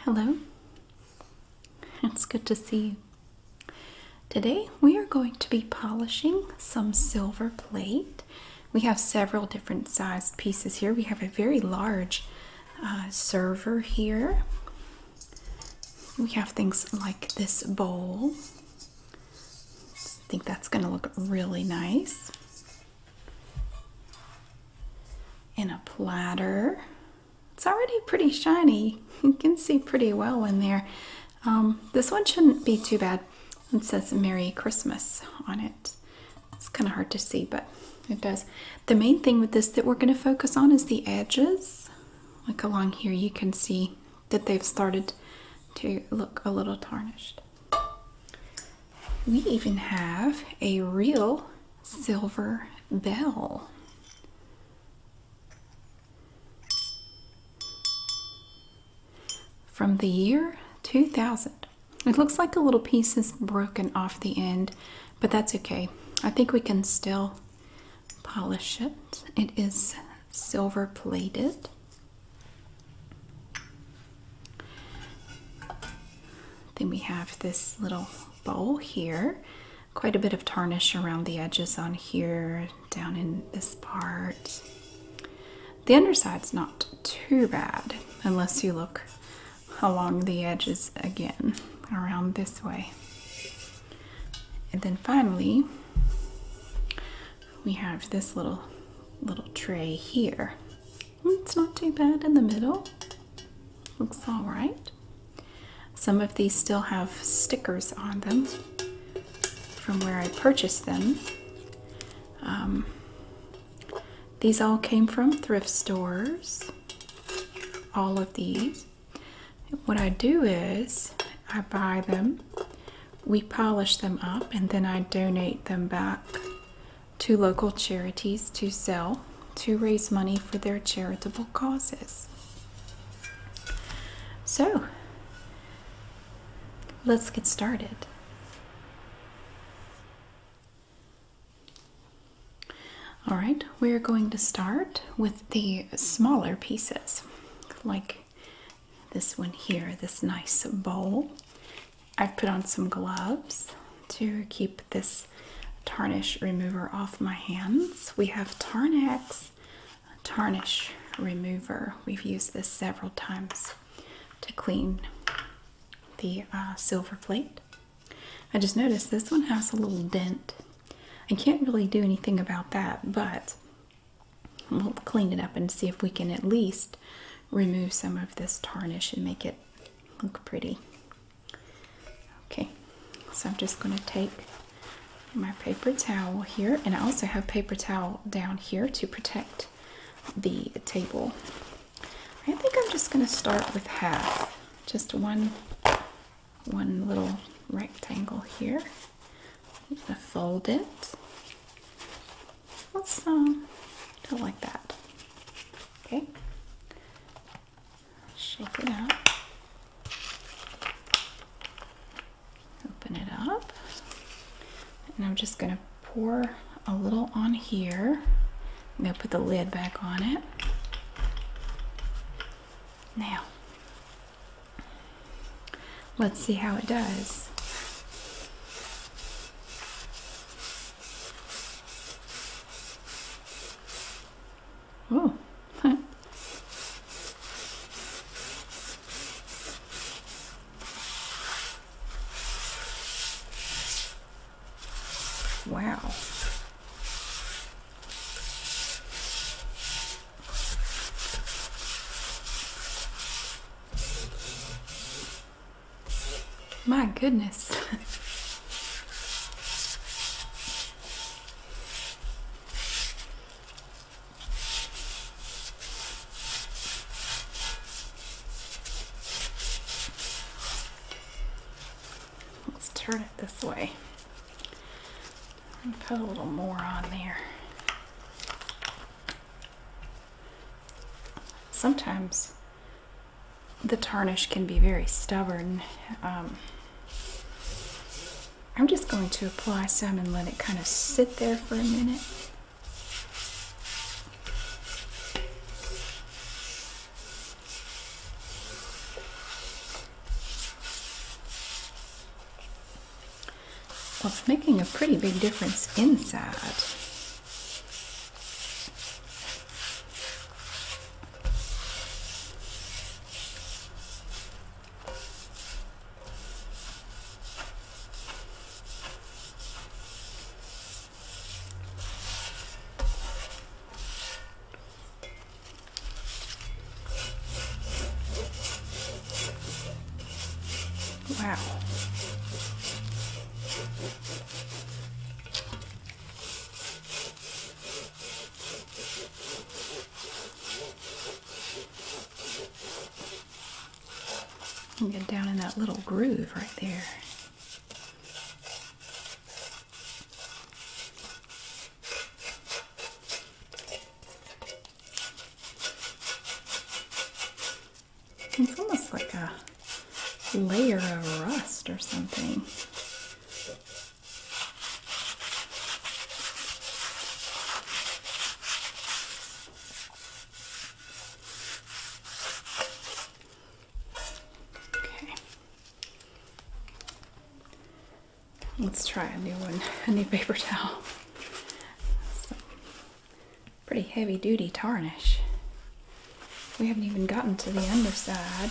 Hello, it's good to see you. Today we are going to be polishing some silver plate. We have several different sized pieces here. We have a very large uh, server here. We have things like this bowl. I think that's going to look really nice. In a platter. It's already pretty shiny. You can see pretty well in there. Um, this one shouldn't be too bad. It says Merry Christmas on it. It's kind of hard to see, but it does. The main thing with this that we're going to focus on is the edges. Like along here, you can see that they've started to look a little tarnished. We even have a real silver bell. From the year 2000. It looks like a little piece is broken off the end, but that's okay. I think we can still polish it. It is silver plated. Then we have this little bowl here. Quite a bit of tarnish around the edges on here, down in this part. The underside's not too bad unless you look along the edges again, around this way. And then finally, we have this little little tray here. It's not too bad in the middle. Looks all right. Some of these still have stickers on them from where I purchased them. Um, these all came from thrift stores. All of these. What I do is I buy them we polish them up and then I donate them back to local charities to sell to raise money for their charitable causes. So, let's get started. All right, we're going to start with the smaller pieces, like this one here, this nice bowl. I've put on some gloves to keep this tarnish remover off my hands. We have Tarnex tarnish remover. We've used this several times to clean the uh, silver plate. I just noticed this one has a little dent. I can't really do anything about that, but We'll clean it up and see if we can at least remove some of this tarnish and make it look pretty. Okay, so I'm just going to take my paper towel here, and I also have paper towel down here to protect the table. I think I'm just going to start with half, just one, one little rectangle here. I'm going to fold it Let's um, do it like that. Okay. Shake it out, Open it up. And I'm just gonna pour a little on here. I'm gonna put the lid back on it. Now Let's see how it does. Oh. wow. My goodness. Let's turn it this way. And put a little more on there. Sometimes the tarnish can be very stubborn. Um, I'm just going to apply some and let it kind of sit there for a minute. Well, it's making a pretty big difference inside. Wow. And get down in that little groove right there. It's almost like a layer of rust or something. Okay. Let's try a new one, a new paper towel. pretty heavy duty tarnish. We haven't even gotten to the underside.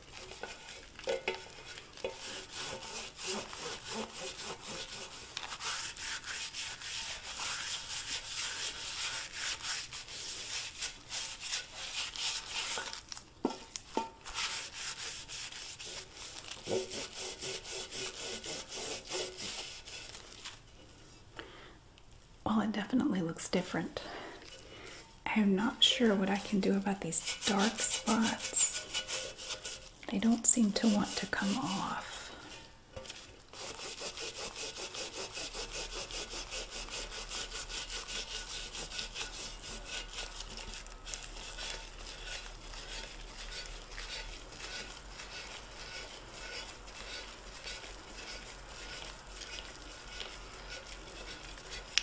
Well, it definitely looks different. I'm not sure what I can do about these dark spots. They don't seem to want to come off.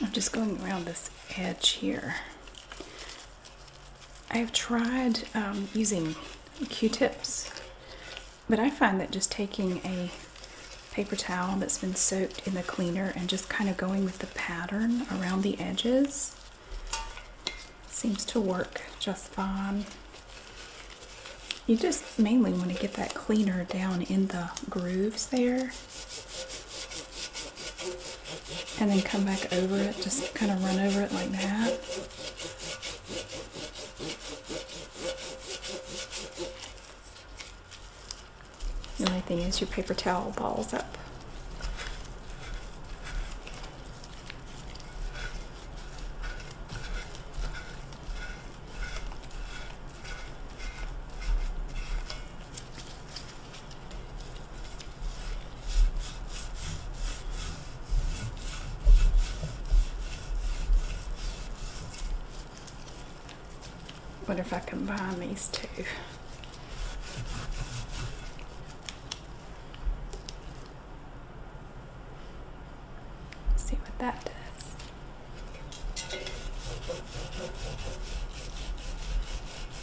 I'm just going around this edge here I've tried um, using Q-tips, but I find that just taking a paper towel that's been soaked in the cleaner and just kind of going with the pattern around the edges seems to work just fine. You just mainly want to get that cleaner down in the grooves there and then come back over it, just kind of run over it like that. The only thing is your paper towel balls up. Wonder if I combine these two. See what that does.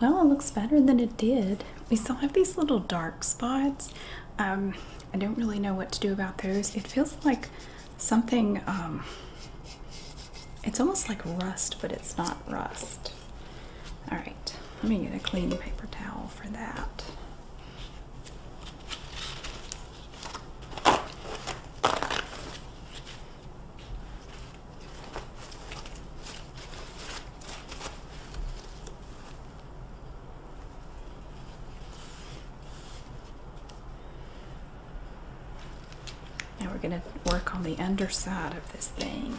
Well, it looks better than it did. We still have these little dark spots. Um, I don't really know what to do about those. It feels like something, um, it's almost like rust, but it's not rust. All right, let me get a clean paper towel for that. Now we're going to work on the underside of this thing.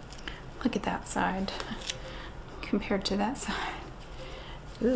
Look at that side compared to that side. Ooh.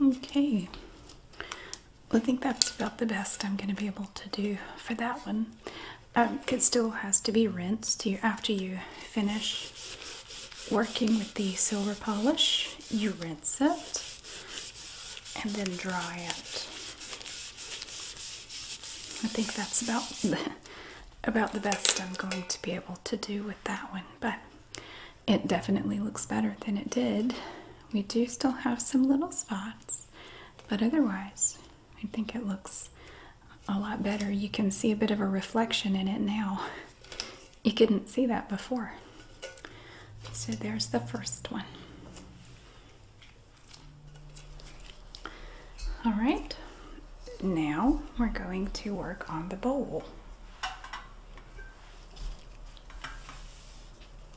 Okay. I think that's about the best I'm going to be able to do for that one. Um, it still has to be rinsed after you finish working with the silver polish. You rinse it and then dry it. I think that's about the, about the best I'm going to be able to do with that one. But it definitely looks better than it did. We do still have some little spots, but otherwise, I think it looks a lot better. You can see a bit of a reflection in it now. You couldn't see that before. So there's the first one. All right, now we're going to work on the bowl.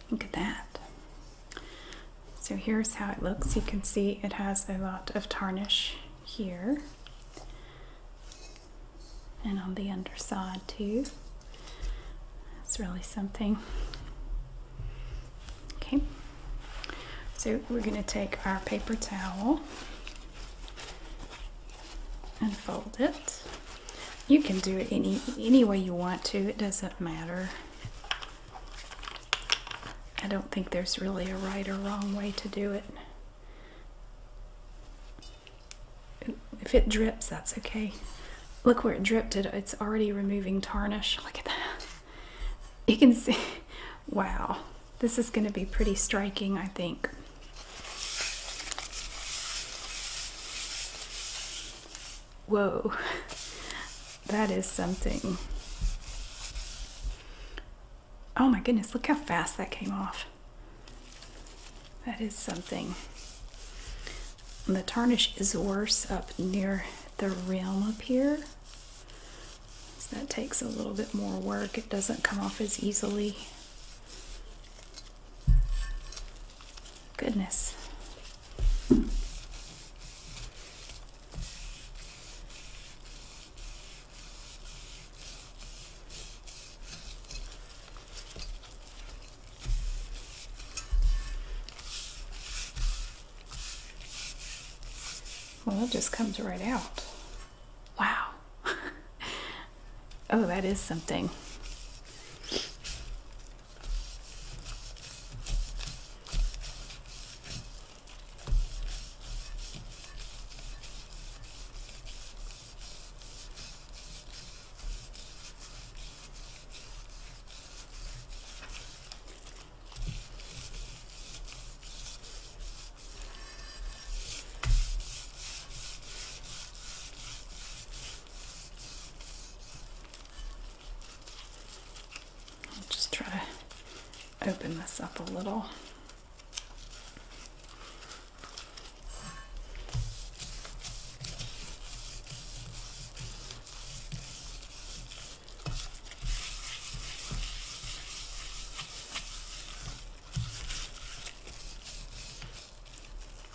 Look at that. So here's how it looks. You can see it has a lot of tarnish here and on the underside too. It's really something. Okay, so we're going to take our paper towel and fold it. You can do it any any way you want to. It doesn't matter. I don't think there's really a right or wrong way to do it. If it drips, that's okay. Look where it dripped. it's already removing tarnish. Look at that. You can see. Wow. This is going to be pretty striking, I think. Whoa, that is something. Oh my goodness, look how fast that came off. That is something. the tarnish is worse up near the rim up here. So that takes a little bit more work. It doesn't come off as easily. Goodness. Well, it just comes right out. Wow. Oh, that is something. I'll just try to open this up a little.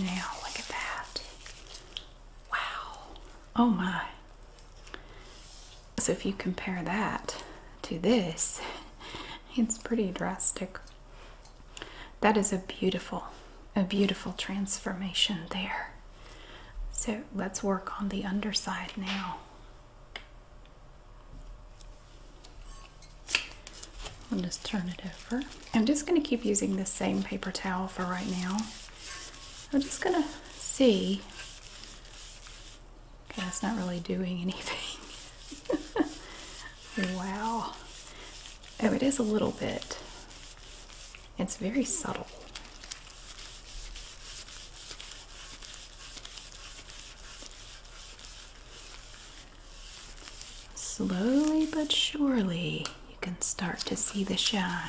Now, look at that. Wow. Oh my. So if you compare that to this, it's pretty drastic. That is a beautiful, a beautiful transformation there. So let's work on the underside now. I'll turn it over. I'm just going to keep using the same paper towel for right now. I'm just gonna see. Okay, that's not really doing anything. wow. Oh, it is a little bit. It's very subtle. Slowly but surely, you can start to see the shine.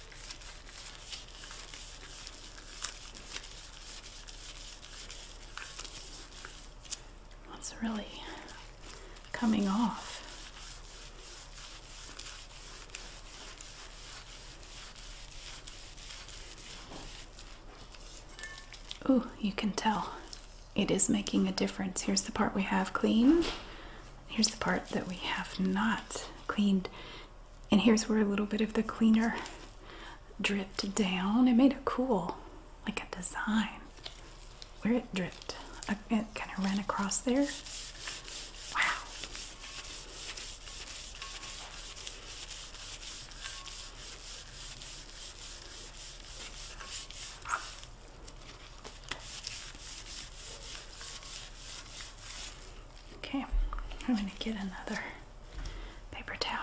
That's really coming off. Ooh, you can tell it is making a difference. Here's the part we have cleaned. Here's the part that we have not cleaned. And here's where a little bit of the cleaner dripped down. It made a cool, like a design. Where it dripped, uh, it kind of ran across there. Wow. Okay, I'm going to get another paper towel.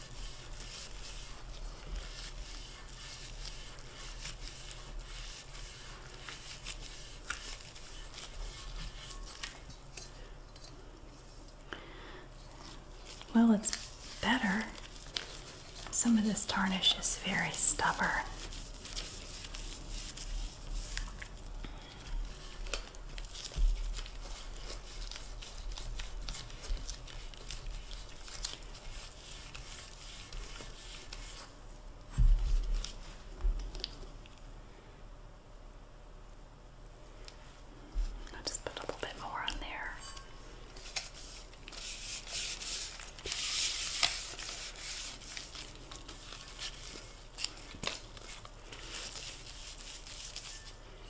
Well, it's better. Some of this tarnish is very stubborn. I'll just put a little bit more on there.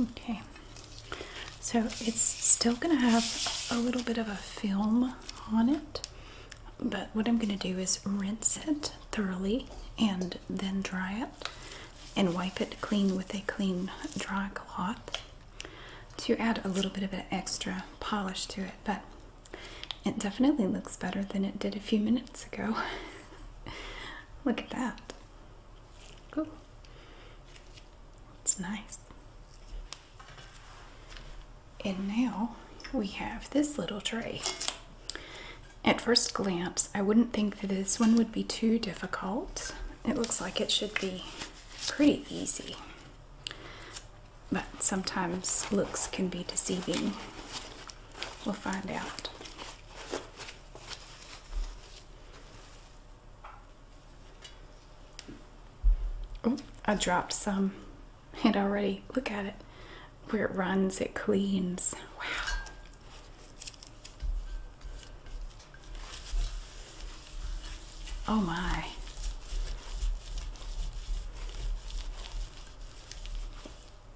Okay, so it's still going to have a little bit of a film on it, but what I'm going to do is rinse it thoroughly and then dry it and wipe it clean with a clean dry cloth to add a little bit of an extra polish to it, but it definitely looks better than it did a few minutes ago. Look at that. Cool. It's nice. And now we have this little tray. At first glance, I wouldn't think that this one would be too difficult. It looks like it should be pretty easy. But sometimes looks can be deceiving. We'll find out. I dropped some. It already, look at it. Where it runs, it cleans. Wow. Oh my.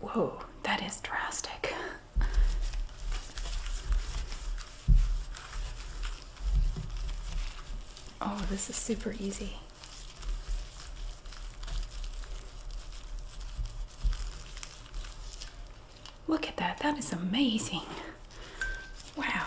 Whoa, that is drastic. Oh, this is super easy. Look at that, that is amazing. Wow.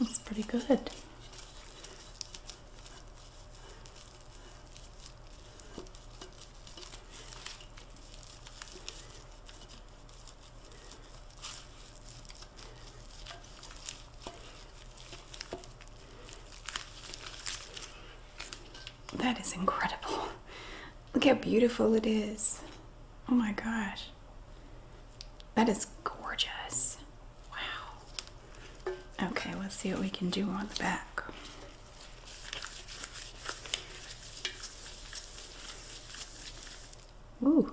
That's pretty good. That is incredible. Look how beautiful it is. Oh my gosh. That is gorgeous. Wow. Okay, let's see what we can do on the back. Ooh.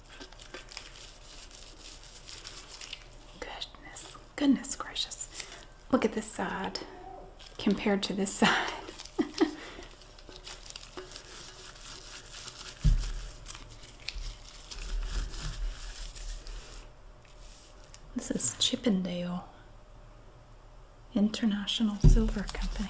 Goodness, goodness gracious. Look at this side compared to this side. this is Chippendale International Silver Company.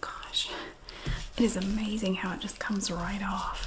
Gosh, it is amazing how it just comes right off.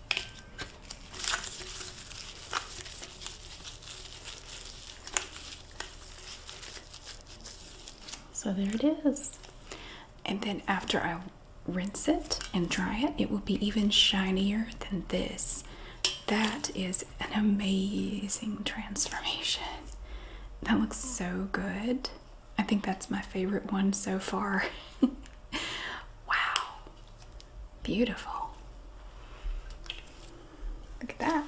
So there it is. And then after I rinse it and dry it, it will be even shinier than this. That is an amazing transformation. That looks so good. I think that's my favorite one so far. wow, beautiful. Look at that.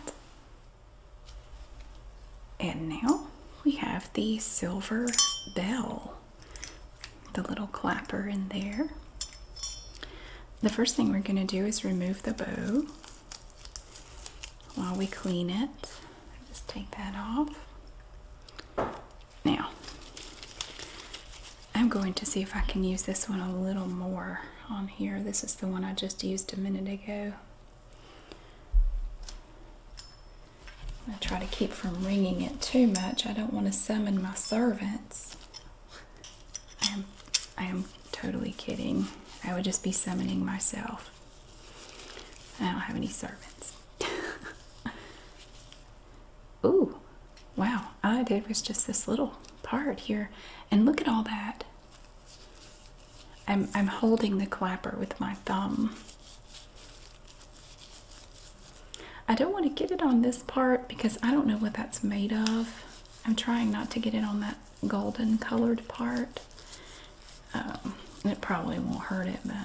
And now we have the silver bell, the little clapper in there. The first thing we're going to do is remove the bow while we clean it. Just take that off. Now, I'm going to see if I can use this one a little more on here. This is the one I just used a minute ago. I try to keep from wringing it too much. I don't want to summon my servants. I am, I am totally kidding. I would just be summoning myself. I don't have any servants. Ooh, wow, all I did was just this little part here. And look at all that. I'm, I'm holding the clapper with my thumb. I don't want to get it on this part because I don't know what that's made of. I'm trying not to get it on that golden colored part. Um, it probably won't hurt it, but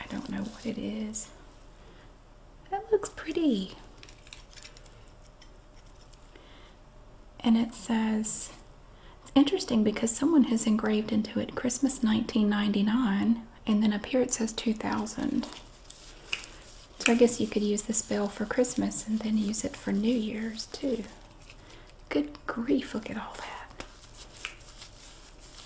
I don't know what it is. That looks pretty. And it says, it's interesting because someone has engraved into it Christmas 1999 and then up here it says 2000. So I guess you could use this bell for Christmas and then use it for New Year's too. Good grief, look at all that.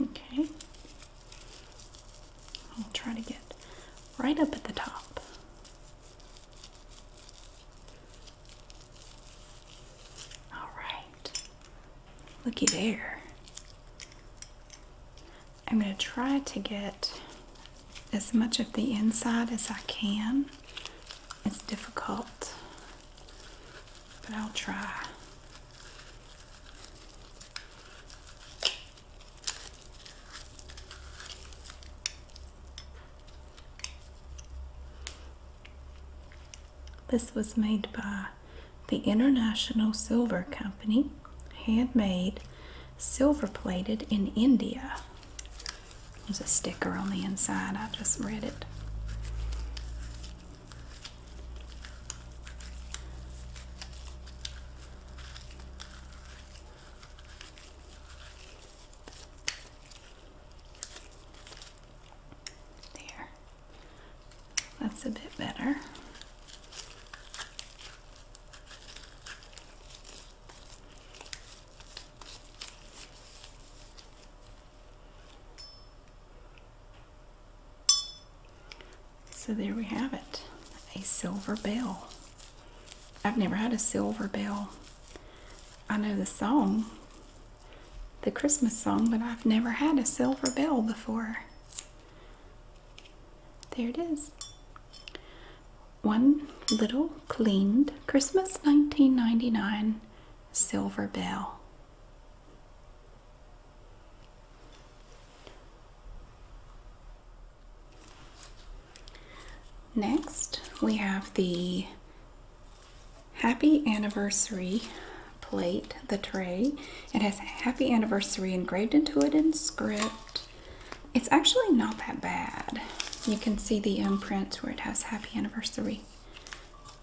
Okay. I'll try to get right up at the top. All right. Looky there. I'm going to try to get as much of the inside as I can. It's difficult but I'll try. This was made by the International Silver Company, handmade, silver plated in India. There's a sticker on the inside, I just read it. There. That's a bit better. So there we have it. A silver bell. I've never had a silver bell. I know the song, the Christmas song, but I've never had a silver bell before. There it is. One little cleaned Christmas 1999 silver bell. Next, we have the Happy Anniversary plate, the tray. It has Happy Anniversary engraved into it in script. It's actually not that bad. You can see the imprint where it has Happy Anniversary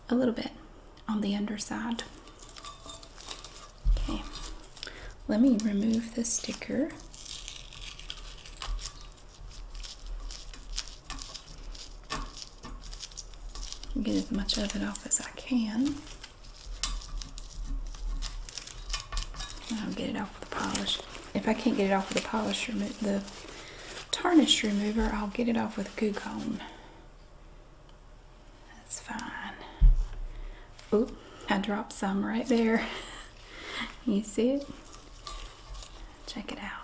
a little bit on the underside. Okay, let me remove the sticker. Get as much of it off as I can. I'll get it off with polish. If I can't get it off with the polish, the tarnish remover, I'll get it off with Goo Gone. That's fine. Ooh, I dropped some right there. you see it? Check it out.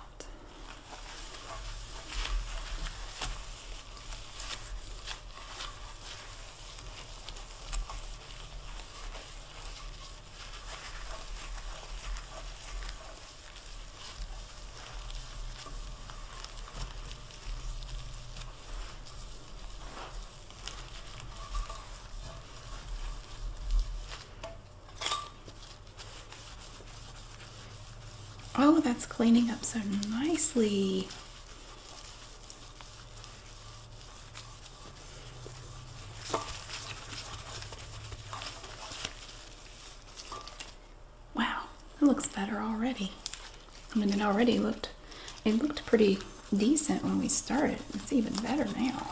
Oh, that's cleaning up so nicely. Wow, it looks better already. I mean, it already looked, it looked pretty decent when we started. It's even better now.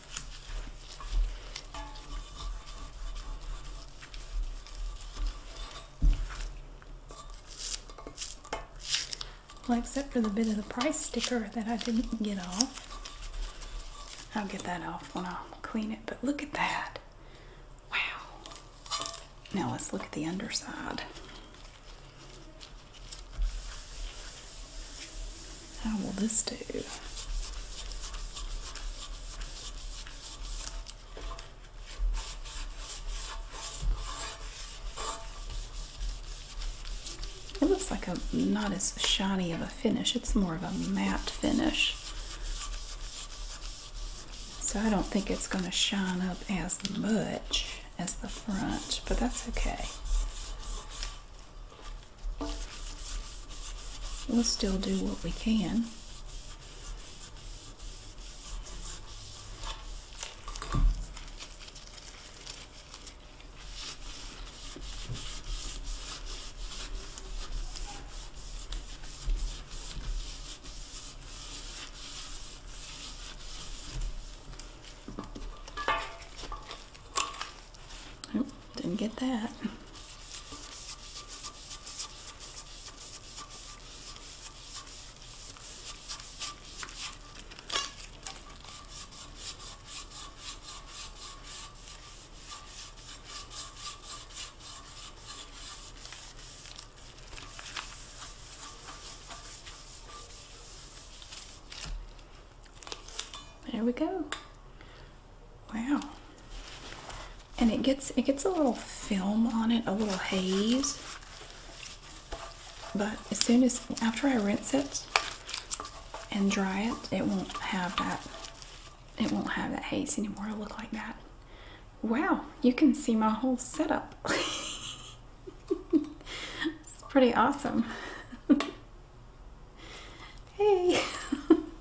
Well, except for the bit of the price sticker that I didn't get off. I'll get that off when I clean it, but look at that. Wow. Now let's look at the underside. How will this do? It looks like a not as shiny of a finish. It's more of a matte finish. So I don't think it's going to shine up as much as the front, but that's okay. We'll still do what we can. Oh, didn't get that. There we go. Wow. And it gets it gets a little film on it, a little haze. But as soon as after I rinse it and dry it, it won't have that it won't have that haze anymore. It'll look like that. Wow, you can see my whole setup. it's pretty awesome. Hey,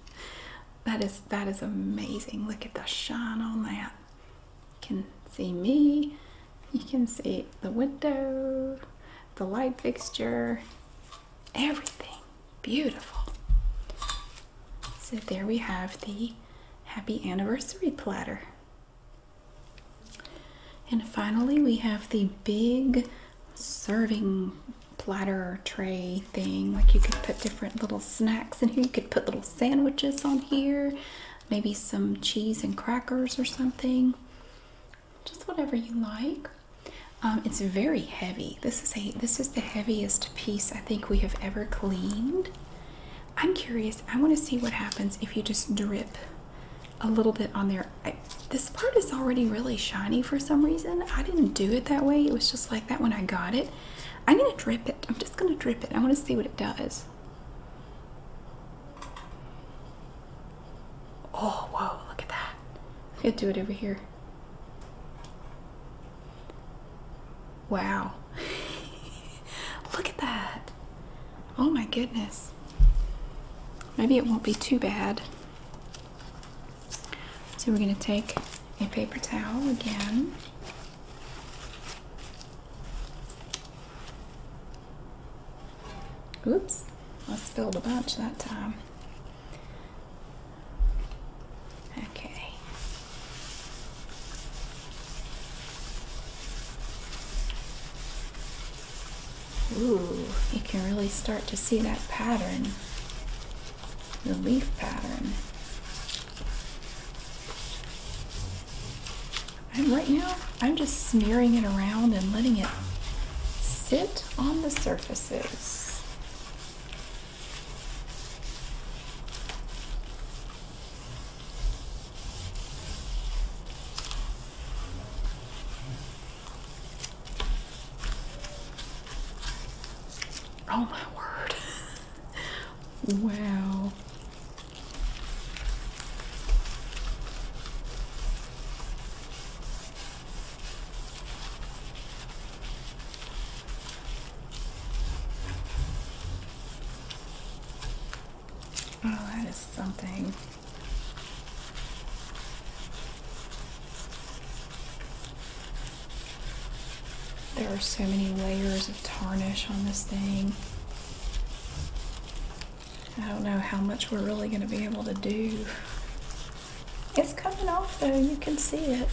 that is that is amazing. Look at the shine on that. You can see me. You can see the window, the light fixture, everything. Beautiful. So there we have the happy anniversary platter. And finally, we have the big serving platter tray thing. Like you could put different little snacks in here. You could put little sandwiches on here, maybe some cheese and crackers or something. Just whatever you like. Um, it's very heavy. This is a this is the heaviest piece I think we have ever cleaned. I'm curious. I want to see what happens if you just drip a little bit on there. this part is already really shiny for some reason. I didn't do it that way. It was just like that when I got it. I'm going to drip it. I'm just going to drip it. I want to see what it does. Oh, whoa, look at that. I'm do it over here. Wow. look at that. Oh my goodness. Maybe it won't be too bad. So we're going to take a paper towel again. Oops, I spilled a bunch that time. Okay. Ooh, you can really start to see that pattern, the leaf pattern. right now, I'm just smearing it around and letting it sit on the surfaces. Oh my word. wow. Oh, that is something. There are so many layers of tarnish on this thing. I don't know how much we're really going to be able to do. It's coming off though, you can see it.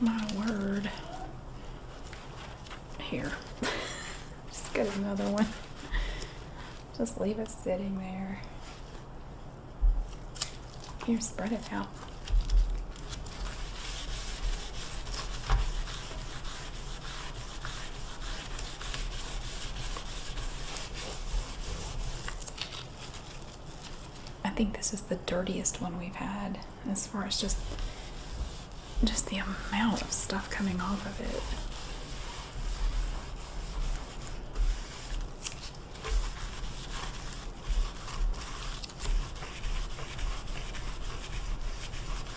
My word. Here. Just get another one. Just leave it sitting there. Here, spread it out. I think this is the dirtiest one we've had as far as just just the amount of stuff coming off of it.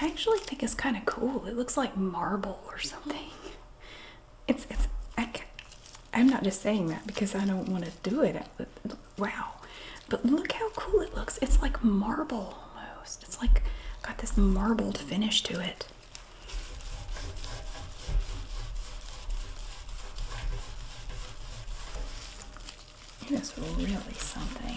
I actually think it's kind of cool. It looks like marble or something. It's it's I, I'm not just saying that because I don't want to do it. Uh, wow. But look how cool it looks. It's like marble almost. It's like got this marbled finish to it. That's really something.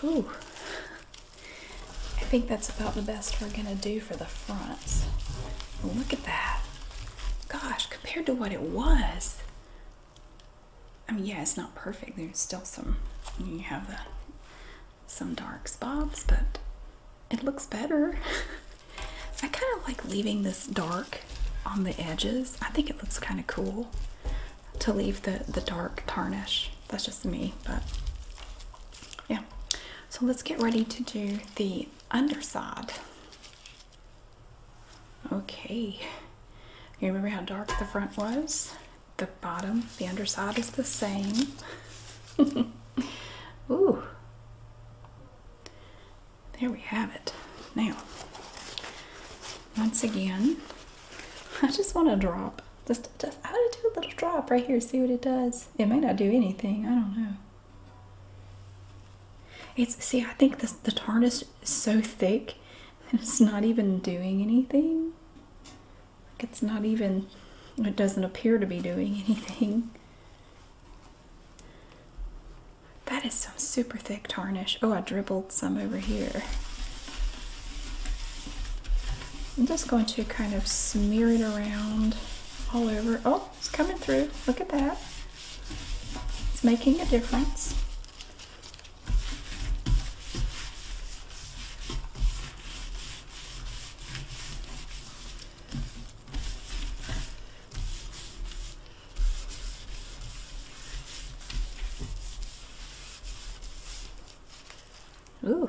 Whew. I think that's about the best we're gonna do for the front. Oh, look at that. Gosh, compared to what it was. I mean, yeah, it's not perfect. There's still some, you have the, some dark spots, but it looks better. I kind of like leaving this dark on the edges. I think it looks kind of cool to leave the, the dark tarnish. That's just me, but yeah. So let's get ready to do the underside. Okay, you remember how dark the front was? The bottom, the underside is the same. Ooh. There we have it. Now, once again, I just want to drop. Just, just, I want to do a little drop right here, see what it does. It may not do anything, I don't know. It's see, I think this, the tarnish is so thick that it's not even doing anything. it's not even, it doesn't appear to be doing anything. That is some super thick tarnish. Oh, I dribbled some over here. I'm just going to kind of smear it around all over. Oh, it's coming through. Look at that. It's making a difference. Ooh.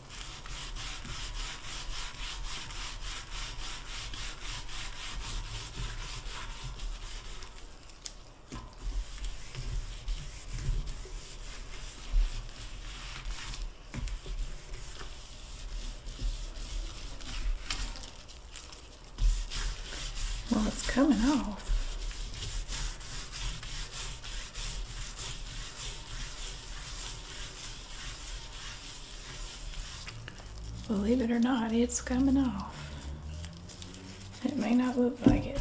Well, it's coming off. Believe it or not, it's coming off. It may not look like it.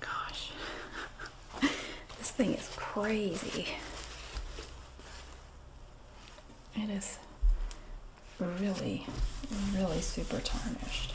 Gosh, this thing is crazy. It is really, really super tarnished.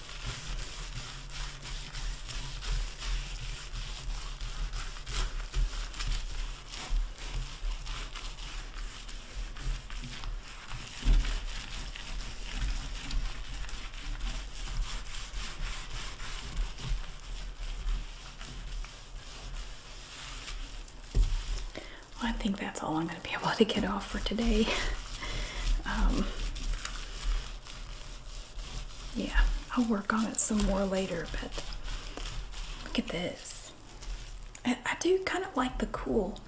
I think that's all I'm going to be able to get off for today. Um, yeah, I'll work on it some more later, but look at this. I, do kind of like the cool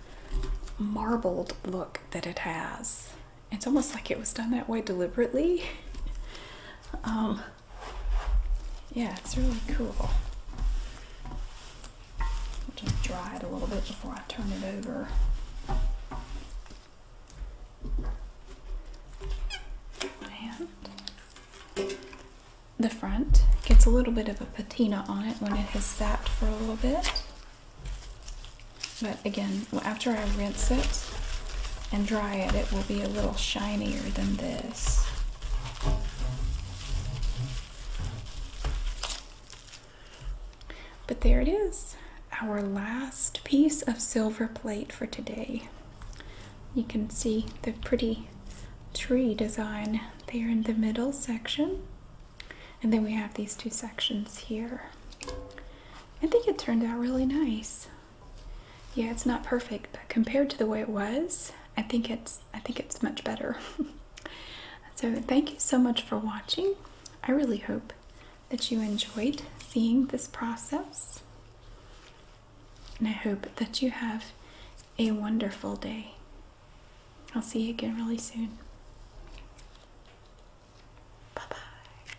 marbled look that it has. It's almost like it was done that way deliberately. Um, yeah, it's really cool. just dry it a little bit before I turn it over. And the front gets a little bit of a patina on it when it has sat for a little bit. But again, after I rinse it and dry it, it will be a little shinier than this. But there it is, our last piece of silver plate for today. You can see the pretty tree design there in the middle section. And then we have these two sections here. I think it turned out really nice. Yeah, it's not perfect, but compared to the way it was, I think it's I think it's much better. so thank you so much for watching. I really hope that you enjoyed seeing this process. And I hope that you have a wonderful day. I'll see you again really soon. Bye bye.